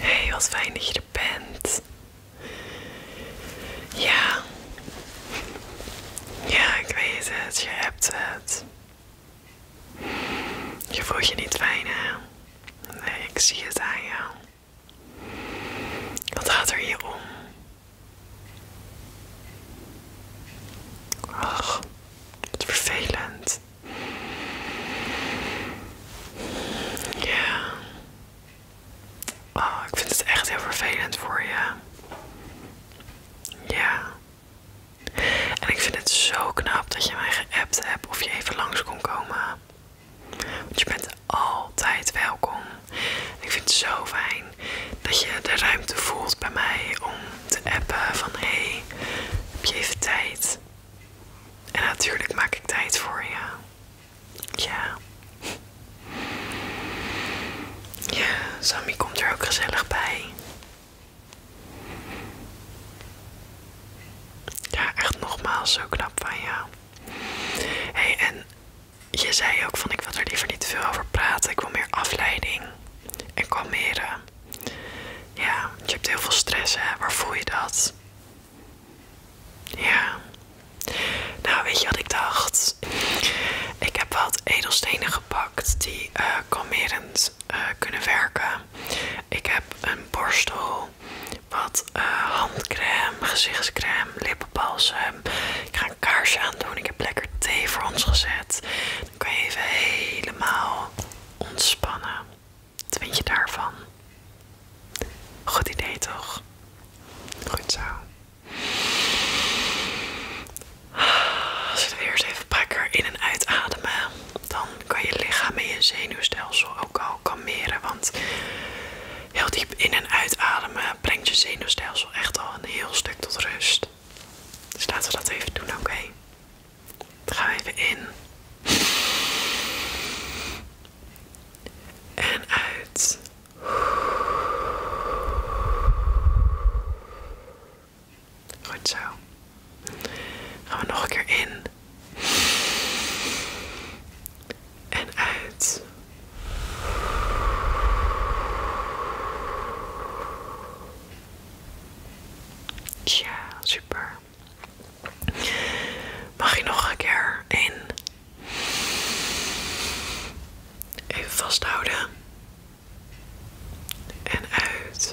Hey, wat fijn dat je er bent. Ja. Ja, ik weet het. Je hebt het. Je voelt je niet fijn, hè? Nee, ik zie het aan jou. Wat gaat er hier om? Ach, wat vervelend. Ja. ah, ik vind het echt heel vervelend voor je. Ja. En ik vind het zo knap dat je mij geappt hebt of je even langs kon komen. Want je bent altijd welkom. Ik vind het zo fijn dat je de ruimte voelt bij mij om te appen van hé, heb je even tijd? En natuurlijk maak ik tijd voor je. Ja. Ja, Sammy komt er ook gezellig bij. Ja, echt nogmaals, zo knap van jou. hey, en je zei ook van ik wil er liever niet te veel over praten. Ik wil meer afleiding en kalmeren. Ja, je hebt heel veel stress hè, waar voel je dat? Ja. Nou, weet je wat ik dacht? Ik heb wat edelstenen gepakt die eh, kalmerend eh, kunnen werken. Ik heb een borstel, wat eh, handcreme, handcrème, gezichtscreem, lippenbalsem. Ik ga een kaarsje aandoen. Ik heb lekker thee voor ons gezet. Dan kan je even helemaal ontspannen. Wat vind je daarvan? Goed idee toch? Goed zo. Als het weer eens even pakker in en uitademen, dan kan je lichaam en je zenuwstelsel ook al kalmeren. Want heel diep in en uitademen brengt je zenuwstelsel echt al een heel stuk tot rust. Dus laten we dat even doen, oké? gaan even in en uit. Goed zo. Gaan we nog een keer in. En uit. Ja, super. Mag je nog een keer in? Even vasthouden. En uit.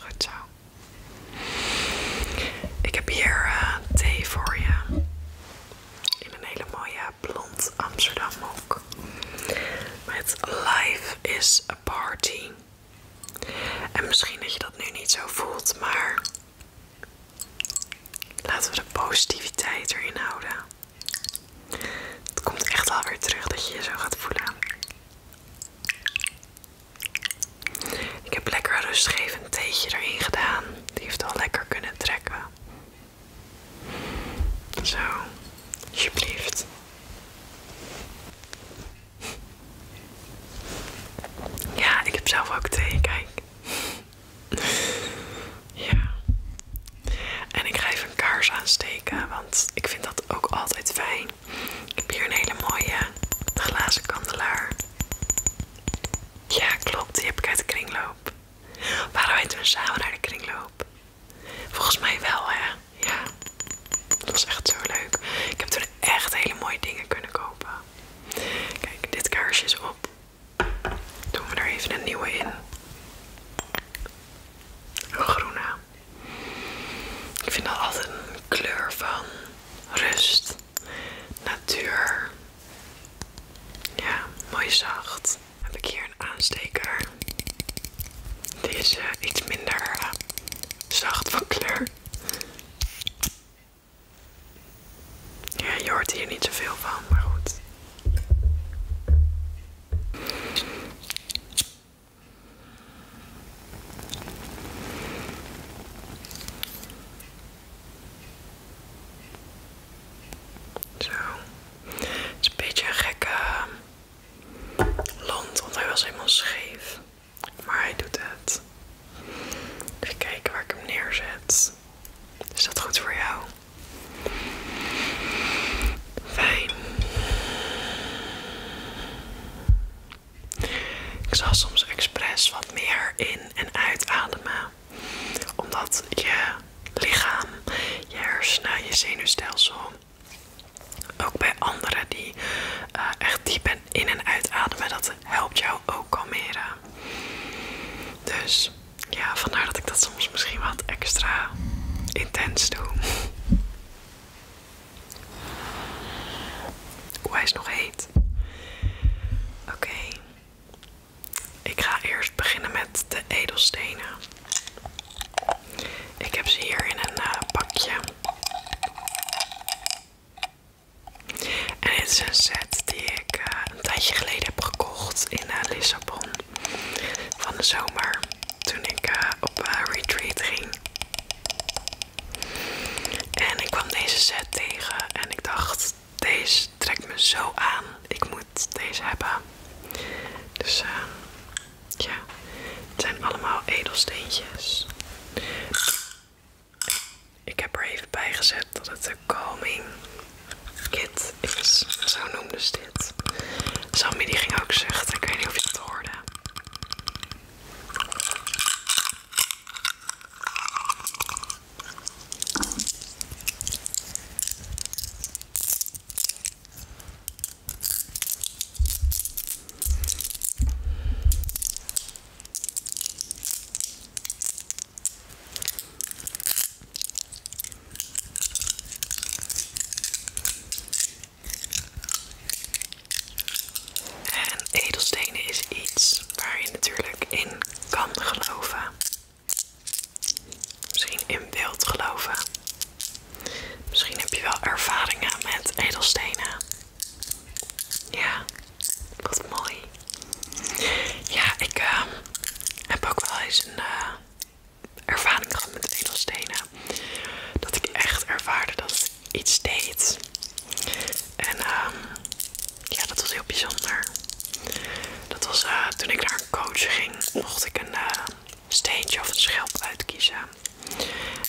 Goed zo. Ik heb hier eh, thee voor je. In een hele mooie blond Amsterdam mok. Met Life is a Party. En misschien dat je dat nu niet zo voelt, maar laten we de positiviteit erin houden. Het komt echt wel weer terug dat je je zo gaat voelen. Ik heb lekker rustgevend theetje erin gedaan. Die heeft al lekker kunnen trekken. Zo, alsjeblieft. Ja, ik heb zelf ook thee, kijk. Ja. En ik ga even een kaars aansteken, want ik vind dat ook altijd fijn. Ik heb hier een hele mooie glazen kandelaar. Ja, klopt, die heb ik uit de kringloop. Waarom heet toen samen naar de kringloop? Volgens mij wel, hè? ja, dat was echt zo leuk. Ik heb toen echt hele mooie dingen kunnen kopen. Kijk, dit kaarsje is op. Doen we er even een nieuwe in. Een groene. Ik vind dat altijd een kleur van rust, natuur. Ja, mooi zacht. heb ik hier een aansteker. Die is iets minder eh, zacht van kleur. Ja, je hoort hier niet zoveel van, maar goed. Zo. Het is een beetje een gekke ehm, land, want hij was helemaal scheef. Maar hij doet het. Even kijken waar ik hem neerzet. Is dat goed voor jou? Fijn. Ik zal soms expres wat meer in- en uitademen. Omdat je lichaam, je hersenen, je zenuwstelsel ook bij anderen die eh, echt diep in en uitademen, dat helpt jou ook kalmeren. Dus ja, vandaar dat ik dat soms misschien wat extra intens doe. Hoe hij is nog heet. Oké. Ik ga eerst beginnen met de edelstenen. Ik heb ze hier in een eh, pakje. En dit is een set die ik eh, een tijdje geleden heb gekocht in eh, Lissabon van de zomer toen ik eh, op een retreat ging. En ik kwam deze set tegen en ik dacht, deze trekt me zo aan. Ik moet deze hebben. Dus ja, het zijn allemaal edelsteentjes. Ik heb er even bij gezet dat het de Calming Kit is. Zo noemde ze dit. Sammy die ging ook zuchten. Ik weet niet of je dat hoorde. En edelstenen is iets waar je natuurlijk in kan geloven. Misschien in wilt geloven. Misschien heb je wel ervaringen met edelstenen. Ja, wat mooi. Ja, ik ehm, heb ook wel eens een eh, ervaring gehad met edelstenen. Dat ik echt ervaarde dat het iets deed. En ehm, ja, dat was heel bijzonder. Dat was eh, toen ik naar een coach ging, mocht ik een eh, steentje of een schelp uitkiezen.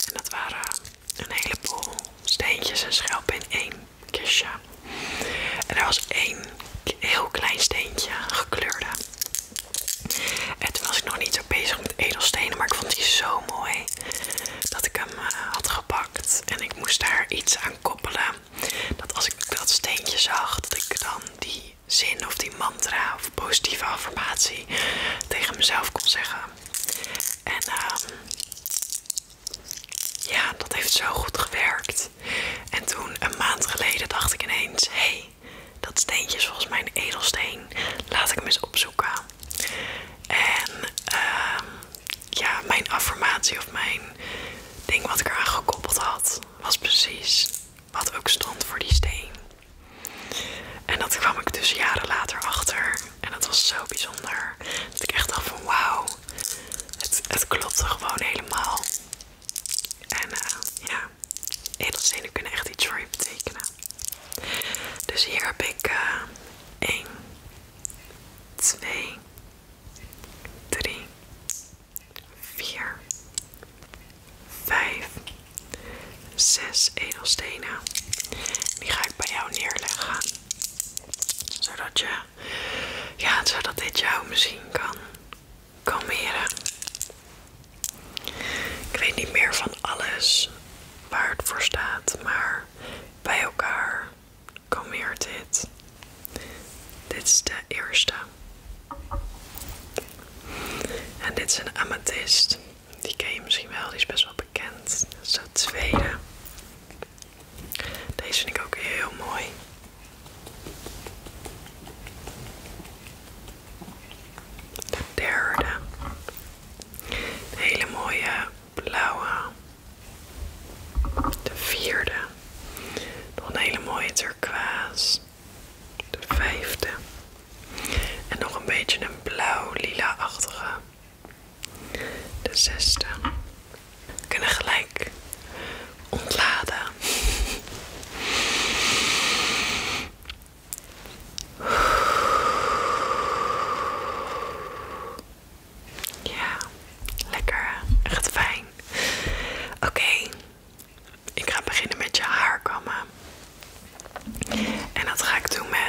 En dat waren een heleboel steentjes en schelpen in één kistje. En er was één heel klein steentje, gekleurde. En toen was ik nog niet zo bezig met edelstenen, maar ik vond die zo mooi dat ik hem eh, had gepakt. En ik moest daar iets aan koppelen. Dat als ik dat steentje zag, dat ik dan die zin of die mantra of positieve affirmatie tegen mezelf kon zeggen. En ehm, ja, dat heeft zo goed gewerkt. En toen, een maand geleden, dacht ik ineens: hé, dat steentje is mijn edelsteen. Laat ik hem eens opzoeken. En ehm, ja, mijn affirmatie of mijn ding wat ik eraan gekoppeld had, was precies wat ook stond voor die steen. En dat kwam ik dus jaren later achter. En dat was zo bijzonder. Dat ik echt dacht van wauw, het, het klopte gewoon helemaal. En eh, ja, edelstenen kunnen echt iets voor betekenen. Dus hier heb ik 1, 2, 3, 4, 5, 6 edelstenen. Die ga ik bij jou neerleggen zodat je, ja, zodat dit jou misschien kan kalmeren. Ik weet niet meer van alles waar het voor staat, maar bij elkaar kalmeert dit. Dit is de eerste. En dit is een amethyst. Die ken je misschien wel, die is best wel kent, Dat is de tweede. Deze vind ik ook heel mooi. De derde. Een hele mooie blauwe. De vierde. Nog een hele mooie turquoise. De vijfde. En nog een beetje een blauw-lila-achtige de zesde. We kunnen gelijk ontladen. Ja, lekker. Echt fijn. Oké, ik ga beginnen met je haar kammen. En dat ga ik doen met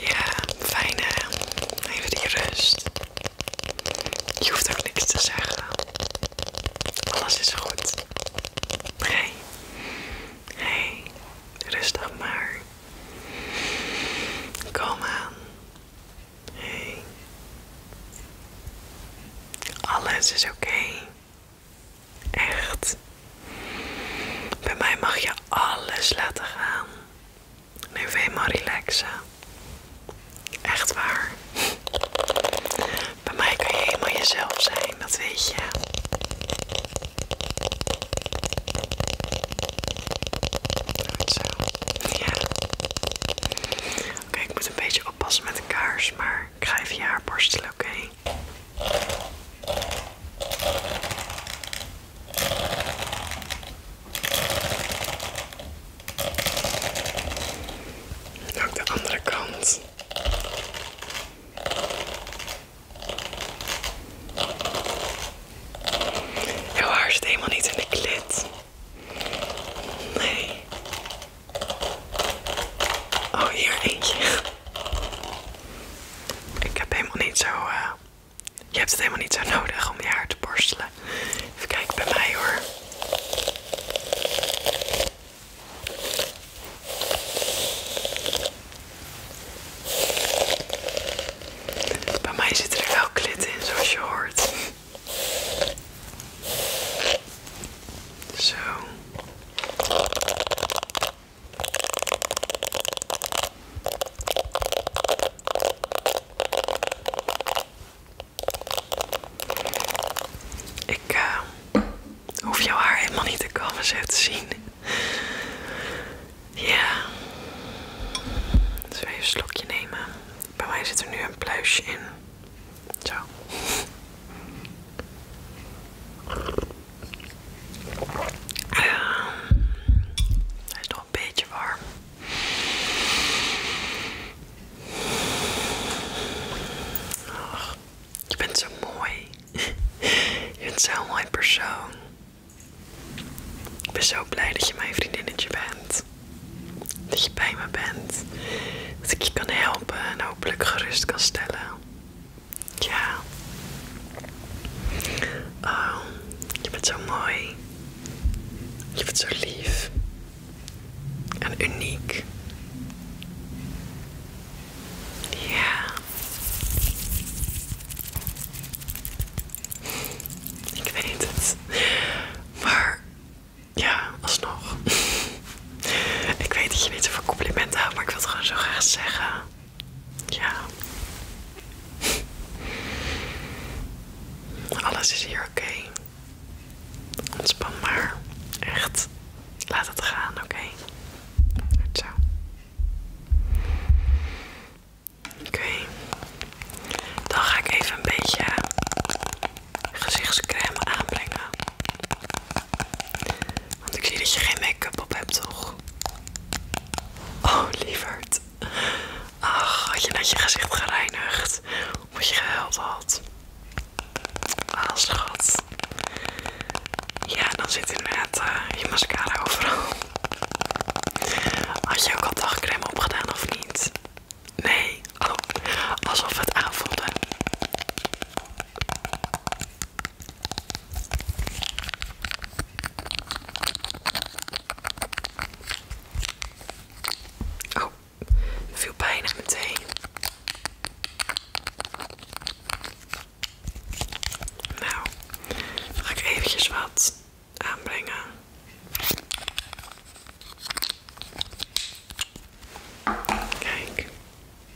Ja, fijn hè? Even die rust. Je hoeft ook niks te zeggen. Alles is goed. Hé, hey. hey. rustig maar. Kom aan. Alles is oké. Echt. Bij mij mag je alles laten gaan. Neem even maar relaxen. Echt waar. Bij mij kan je helemaal jezelf zijn, dat weet je. zo. Ja. Oké, ik moet een beetje oppassen met de kaars, maar ik ga even je haar borstelen, oké? En ook de andere kant. Jouw haar zit helemaal niet in de klit. Nee. Oh, hier eentje. Ik heb helemaal niet zo... Eh, je hebt het helemaal niet zo nodig om je haar te borstelen. Even kijken bij mij hoor. Bij mij zit er wel klit in, zoals je hoort. Zo. Ik eh, hoef jouw haar helemaal niet te komen zo te zien. Ja. even een slokje nemen. Bij mij zit er nu een pluisje in. Zo. Ehm, hij is nog een beetje warm. Oh, je bent zo mooi. je bent zo'n mooi persoon. Ik ben zo blij dat je mijn vriendinnetje bent. Dat je bij me bent. Dat ik je kan helpen en hopelijk gerust kan stellen. Ja. Oh, je bent zo mooi. Je bent zo lief. En uniek. Ja. Ik weet het. Maar ja, alsnog. Ik weet dat je niet zoveel complimenten houdt, maar ik wil het gewoon zo graag zeggen. Ja. Alles is hier oké. Ontspan maar. Echt. Laat het gaan, oké? zo. Oké. Dan ga ik even een beetje gezichtscrème aanbrengen. Want ik zie dat je geen make-up op hebt, toch? Oh, lieverd. Ach, had je net je gezicht gereinigd. of je gehuild had. Als ah, schat. Ja, dan zit inderdaad eh, je mascara overal. Had je ook al dagcreme opgedaan of niet? Nee. Oh, alsof het aanvoelde. Oh, dat viel bijna meteen. Nou, dan ga ik eventjes wat aanbrengen. Kijk.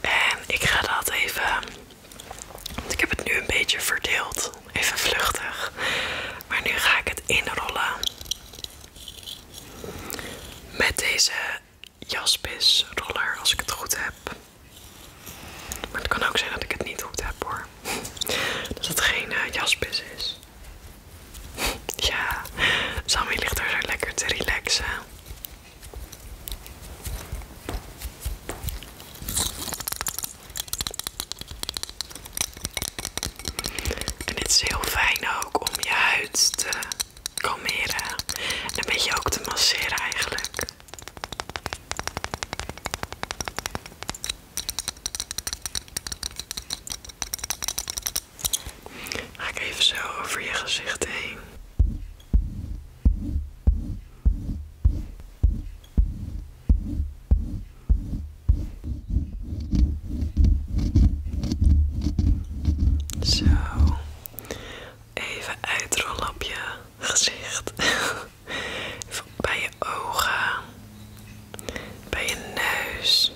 En ik ga dat even. ik heb het nu een beetje verdeeld. Even vluchtig. Maar nu ga ik het inrollen. Met deze jaspis roller, als ik het goed heb. Maar het kan ook zijn dat ik het niet goed heb hoor. Dat het geen eh, jaspis is. Ja, Sammy ligt er zo lekker te relaxen. En dit is heel fijn ook om je huid te kalmeren. En een beetje ook te masseren eigenlijk. Ga ik even zo over je gezicht heen. Zo. Even uitrollen op je gezicht. bij je ogen. Bij je neus.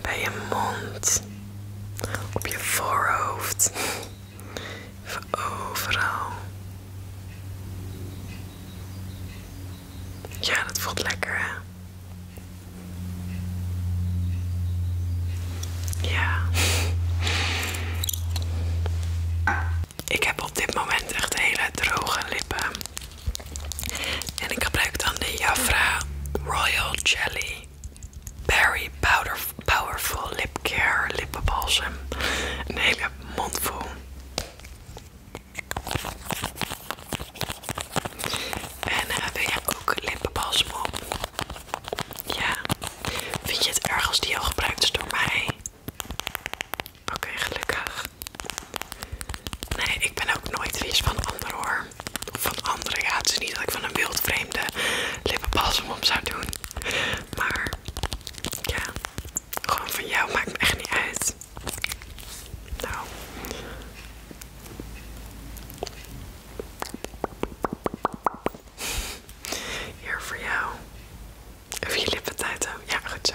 Bij je mond. Op je voorhoofd. overal. Ja, dat voelt lekker, hè? Ja. Ik heb op dit moment echt hele droge lippen. En ik gebruik dan de Jafra Royal Jelly Berry Powder Powerful Lip Care Lip Lippenbalsem. Een hele mondvol. En wil jij ook lippenbalsem op? Ja. Vind je het erg als die al gebruikt is door mij? Oké, gelukkig. Nee, ik ben ook nooit vies van anderen hoor. van anderen, ja. Het is niet dat ik van een wildvreemde lippenbalsem op zou doen. Maar ja, gewoon van jou maakt het echt niet uit. Nou. Hier voor jou. Of je lippen tijd houden. Ja, goed zo.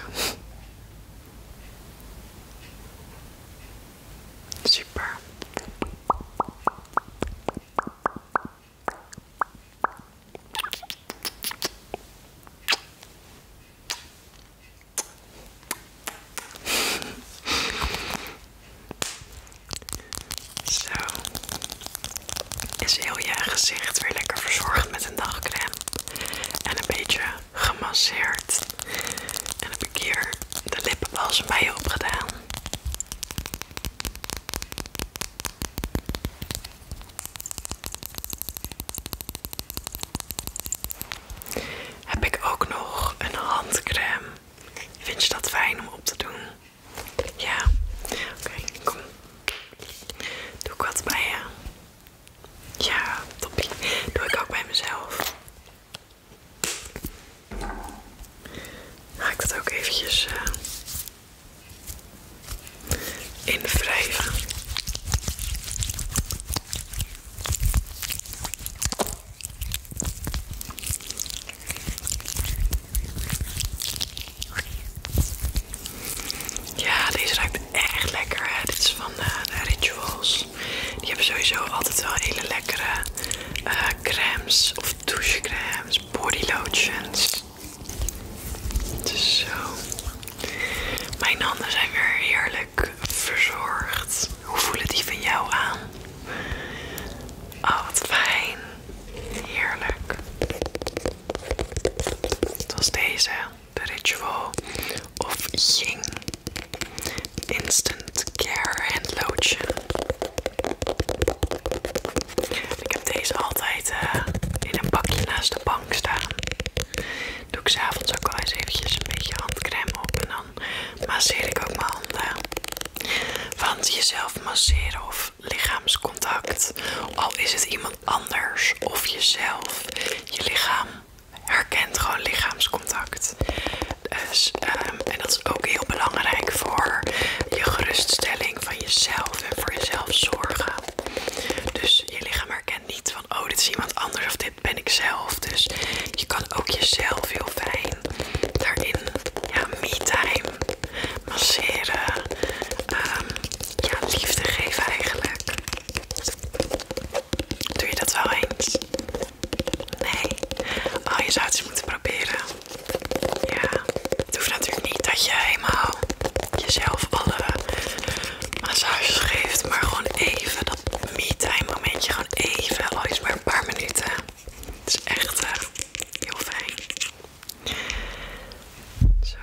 Super. Zo. Is heel je gezicht weer lekker verzorgd met een dagcreme. En een beetje gemasseerd. En heb ik hier de lippen bij je opgedaan heb ik ook nog een handcrème. Vind je dat fijn om op te doen? Ja? Oké, kom. Doe ik wat bij je? Ja, toppie. Doe ik ook bij mezelf. Ga ik dat ook eventjes uh, ja, deze ruikt echt lekker. Dit is van eh, de, Rituals. Die hebben sowieso altijd wel hele lekkere eh, crèmes of douchecrèmes, body lotions. zo. Mijn handen zijn weer heerlijk verzorgd. Hoe voelen die van jou aan? Oh, wat fijn. Heerlijk. Het was deze, de Ritual of Ying Instant Care and Lotion. Ik heb deze altijd eh, in een bakje naast de bank staan. Doe ik s'avonds ook wel eens eventjes een beetje handcrème op masseren ik ook mijn handen. Want jezelf masseren of lichaamscontact, al is het iemand anders of jezelf, je lichaam herkent gewoon lichaamscontact. Dus, ehm, en dat is ook heel belangrijk voor je geruststelling van jezelf en voor jezelf zorgen. Dus je lichaam herkent niet van, oh dit is iemand anders of dit ben ik zelf. Dus je kan ook jezelf heel fijn daarin, ja, me masseren, ehm, ja, liefde geven eigenlijk. Doe je dat wel eens? Nee? Oh, je zou het eens moeten proberen. Ja, het hoeft natuurlijk niet dat je helemaal jezelf alle massages geeft, maar gewoon even dat dat momentje gewoon even, al maar een paar minuten. Het is echt eh, heel fijn. Zo.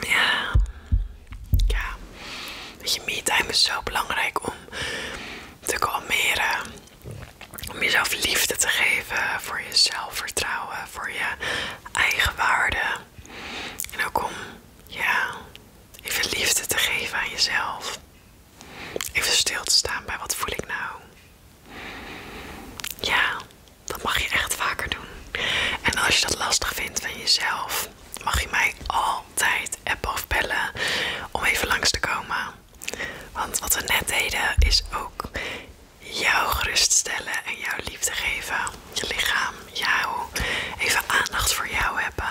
Ja. Ja. Weet je, is zo belangrijk om te kalmeren. Om jezelf liefde te geven voor je zelfvertrouwen, voor je eigen waarde. En ook om ja, even liefde te geven aan jezelf. Even stil te staan bij wat voel ik nou. Ja, dat mag je echt vaker doen. En als je dat lastig vindt van jezelf, mag je mij altijd appen of bellen om even langs te komen. Want wat we net deden is ook jou geruststellen en jouw liefde geven je lichaam, jou, even aandacht voor jou hebben.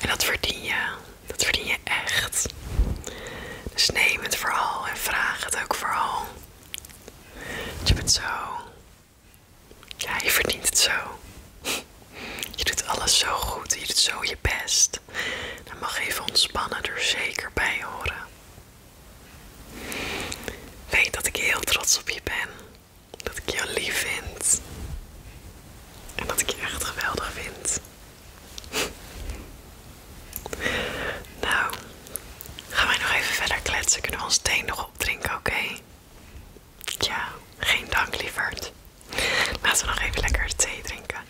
En dat verdien je. Dat verdien je echt. Dus neem het vooral en vraag het ook vooral. Want je het zo. Ja, je verdient het zo. Je doet alles zo goed. Je doet zo je best. Dan mag even ontspannen er zeker bij horen. Weet dat ik heel trots op je ben dat ik je lief vind. En dat ik je echt geweldig vind. nou, gaan wij nog even verder kletsen. Kunnen we ons thee nog opdrinken, oké? Tja, geen dank lieverd. Laten we nog even lekker thee drinken.